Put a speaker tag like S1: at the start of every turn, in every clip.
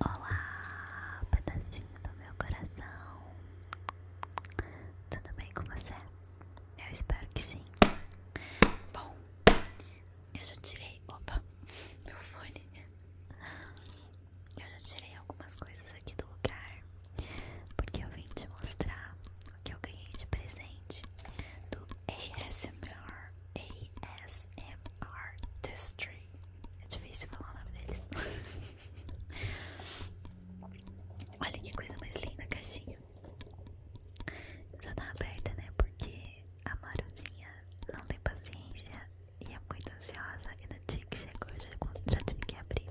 S1: Olá, pedacinho do meu coração. Tudo bem com você? Eu espero que sim. Bom, eu já tirei. Opa, meu fone. Eu já tirei algumas coisas aqui do lugar. Porque eu vim te mostrar o que eu ganhei de presente do ASMR ASMR Testry. É difícil falar o nome deles. Olha que coisa mais linda a caixinha. Já tá aberta, né? Porque a Maruzinha não tem paciência e é muito ansiosa. E no dia que chegou, já, já tive que abrir.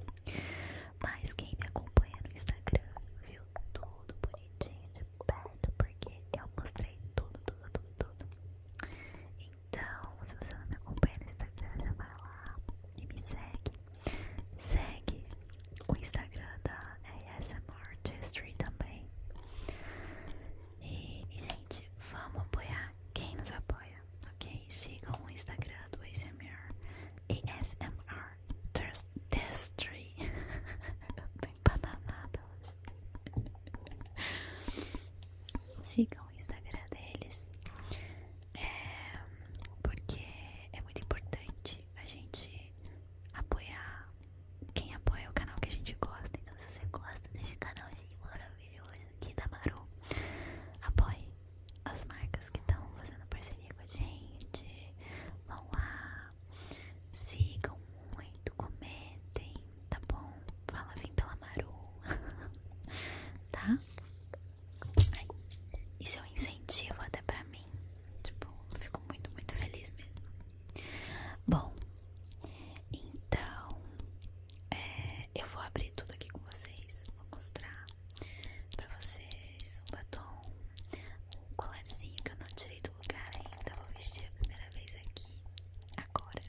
S1: Mas quem me acompanha no Instagram viu tudo bonitinho de perto, porque eu mostrei tudo, tudo, tudo, tudo. Então, se você não me acompanha no Instagram, já vai lá e me segue. Segue o Instagram da ASMR Artistry também. E, gente, vamos apoiar quem nos apoia, ok? Sigam o Instagram do ASMR, ASMR Artistry. Eu tô empananada hoje. Sigam o Instagram deles, é, porque é muito importante a gente apoiar quem apoia o canal que a gente gosta. Então, se você gosta desse canalzinho maravilhoso aqui da Maru, apoie as marcas que estão fazendo parceria com a gente. Vão lá, sigam muito, comentem, tá bom? Fala, vem pela Maru, tá? Ai, isso é um incentivo até pra mim, tipo, fico muito, muito feliz mesmo. Bom, então, é, eu vou abrir tudo aqui com vocês, vou mostrar pra vocês um batom, um colarzinho que eu não tirei do lugar ainda, vou vestir a primeira vez aqui, agora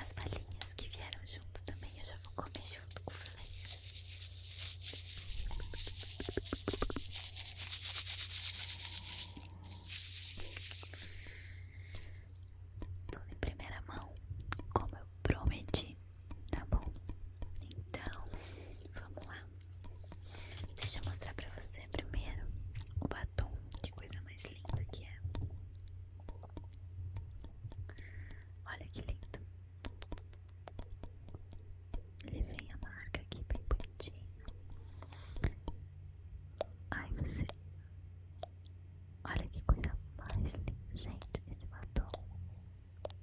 S1: as balinhas que vieram junto também. Eu já vou comer junto com vocês. Tudo em primeira mão, como eu prometi, tá bom? Então, vamos lá. Deixa eu mostrar pra você primeiro o batom. Que coisa mais linda que é. Olha que lindo. Ele vem a marca aqui bem bonitinho. Ai, você. Olha que coisa mais linda, gente. Esse batom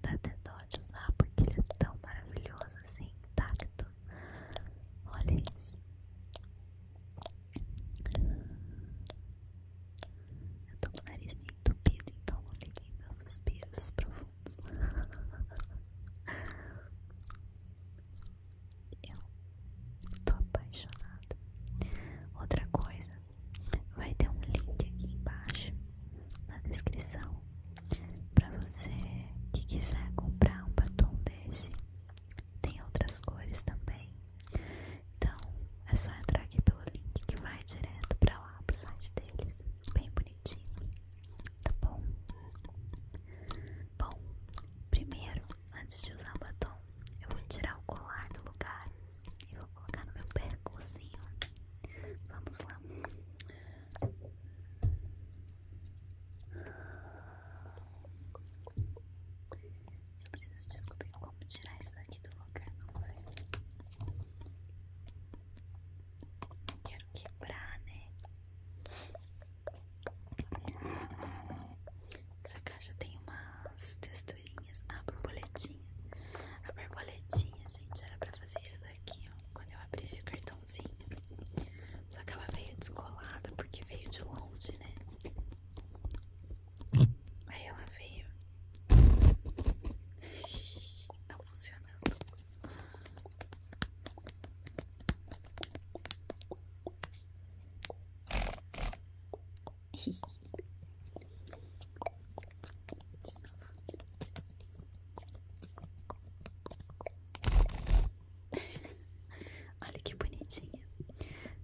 S1: dá até dó de usar porque ele é tão maravilhoso assim, intacto. Olha isso. Eu tô com o nariz meio entupido, então não liguei meus suspiros profundos. Eu tô apaixonada. Outra coisa, vai ter um link aqui embaixo na descrição pra você que quiser comprar um batom desse tem outras cores também. Então é só entrar aqui pelo link que vai direto pra lá, pro site deles. Bem bonitinho. Tá bom? Bom, primeiro, antes de usar o batom, eu vou tirar o colar do lugar e vou colocar no meu percocinho. Vamos lá. Só preciso descobrir como tirar isso daqui do lugar. Vamos ver. Não quero quebrar, né? Essa caixa tem umas texturinhas. Ah, a borboletinha. A borboletinha, gente, era pra fazer isso daqui, ó. Quando eu abri esse cartãozinho. Só que ela veio descolada porque veio de longe, né? Aí ela veio. Não tá funcionando. Olha que bonitinha.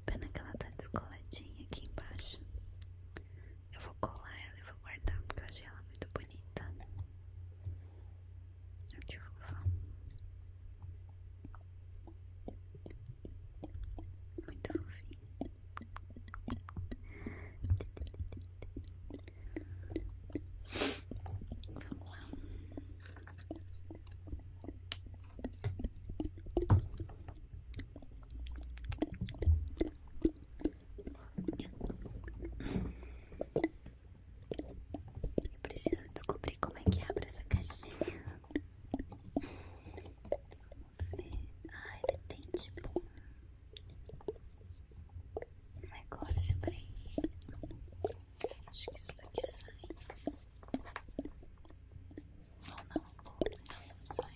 S1: Pena que ela tá descoladinha aqui embaixo. Eu vou colar ela e vou guardar porque eu achei ela muito bonita. Olha que fofa. Muito fofinha. Vamos lá. Eu preciso descobrir como é que abre essa caixinha. Vamos ver. Ah, ele tem tipo um negócio bem Acho que isso daqui é sai. Ou não, não, não sai.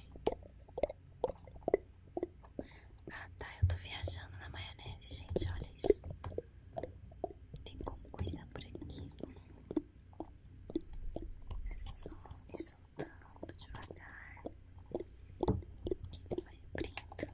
S1: Ah tá, eu tô viajando na maionese, gente. Olha isso. Tem como coisa por aqui. É só ir soltando devagar. Que ele vai abrindo.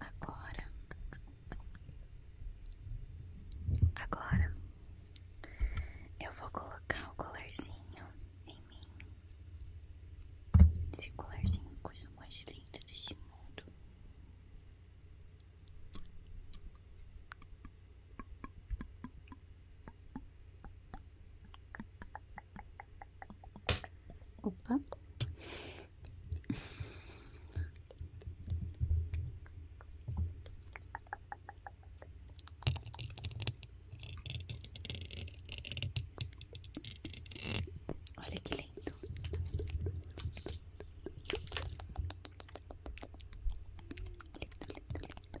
S1: Agora, agora eu vou colocar o colarzinho em mim. Esse colarzinho é coisa mais linda deste mundo. Opa. Olha que lindo. Lindo, lindo,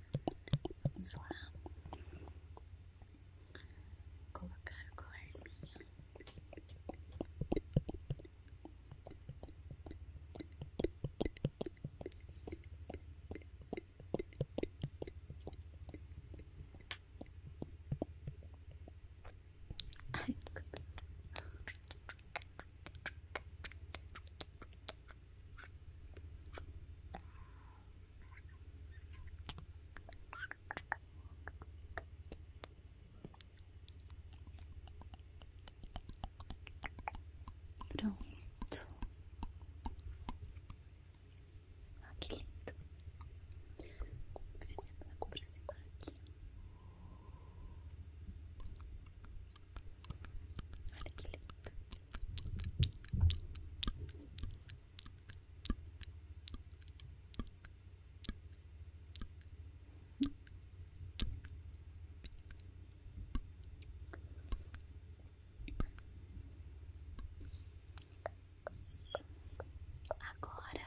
S1: Vamos lá colocar o colarzinho. Ai, Pronto. Ah, que lindo. Vou ver se eu vou aqui. Olha que lindo. Agora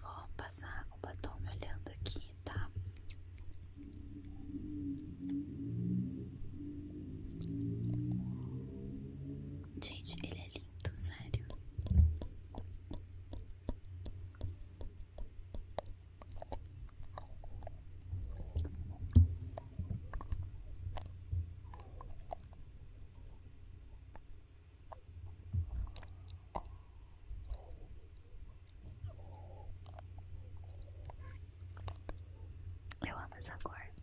S1: Vou passar o batom me olhando aqui, tá? Gente, ele é lindo, sério. Eu amo essa cor.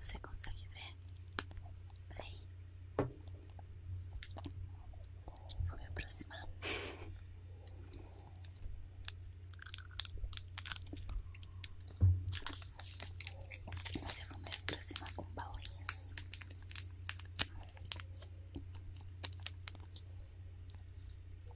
S1: Você consegue ver? Aí. Vou me aproximar. você vai me aproximar com balinhas.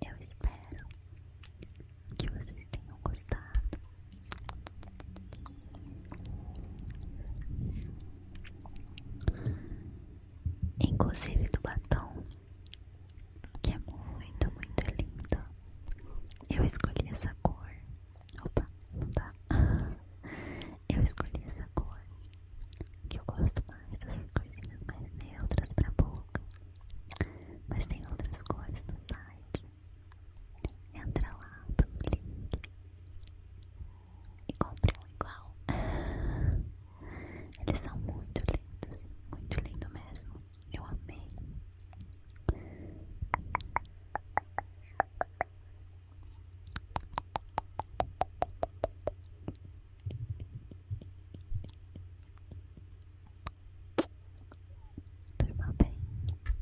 S1: Eu espero que vocês tenham gostado. Inclusive do batom que é muito, muito lindo. Eu escolhi essa cor. Opa, não dá. Eu escolhi essa cor. Que eu gosto mais dessas corzinhas mais neutras pra boca. Mas tem outras cores no site. Entra lá pelo link e compra um igual. Eles são muito lindos, muito lindo mesmo. Eu amei. Durma bem,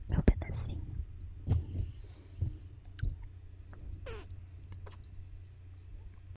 S1: meu pedacinho.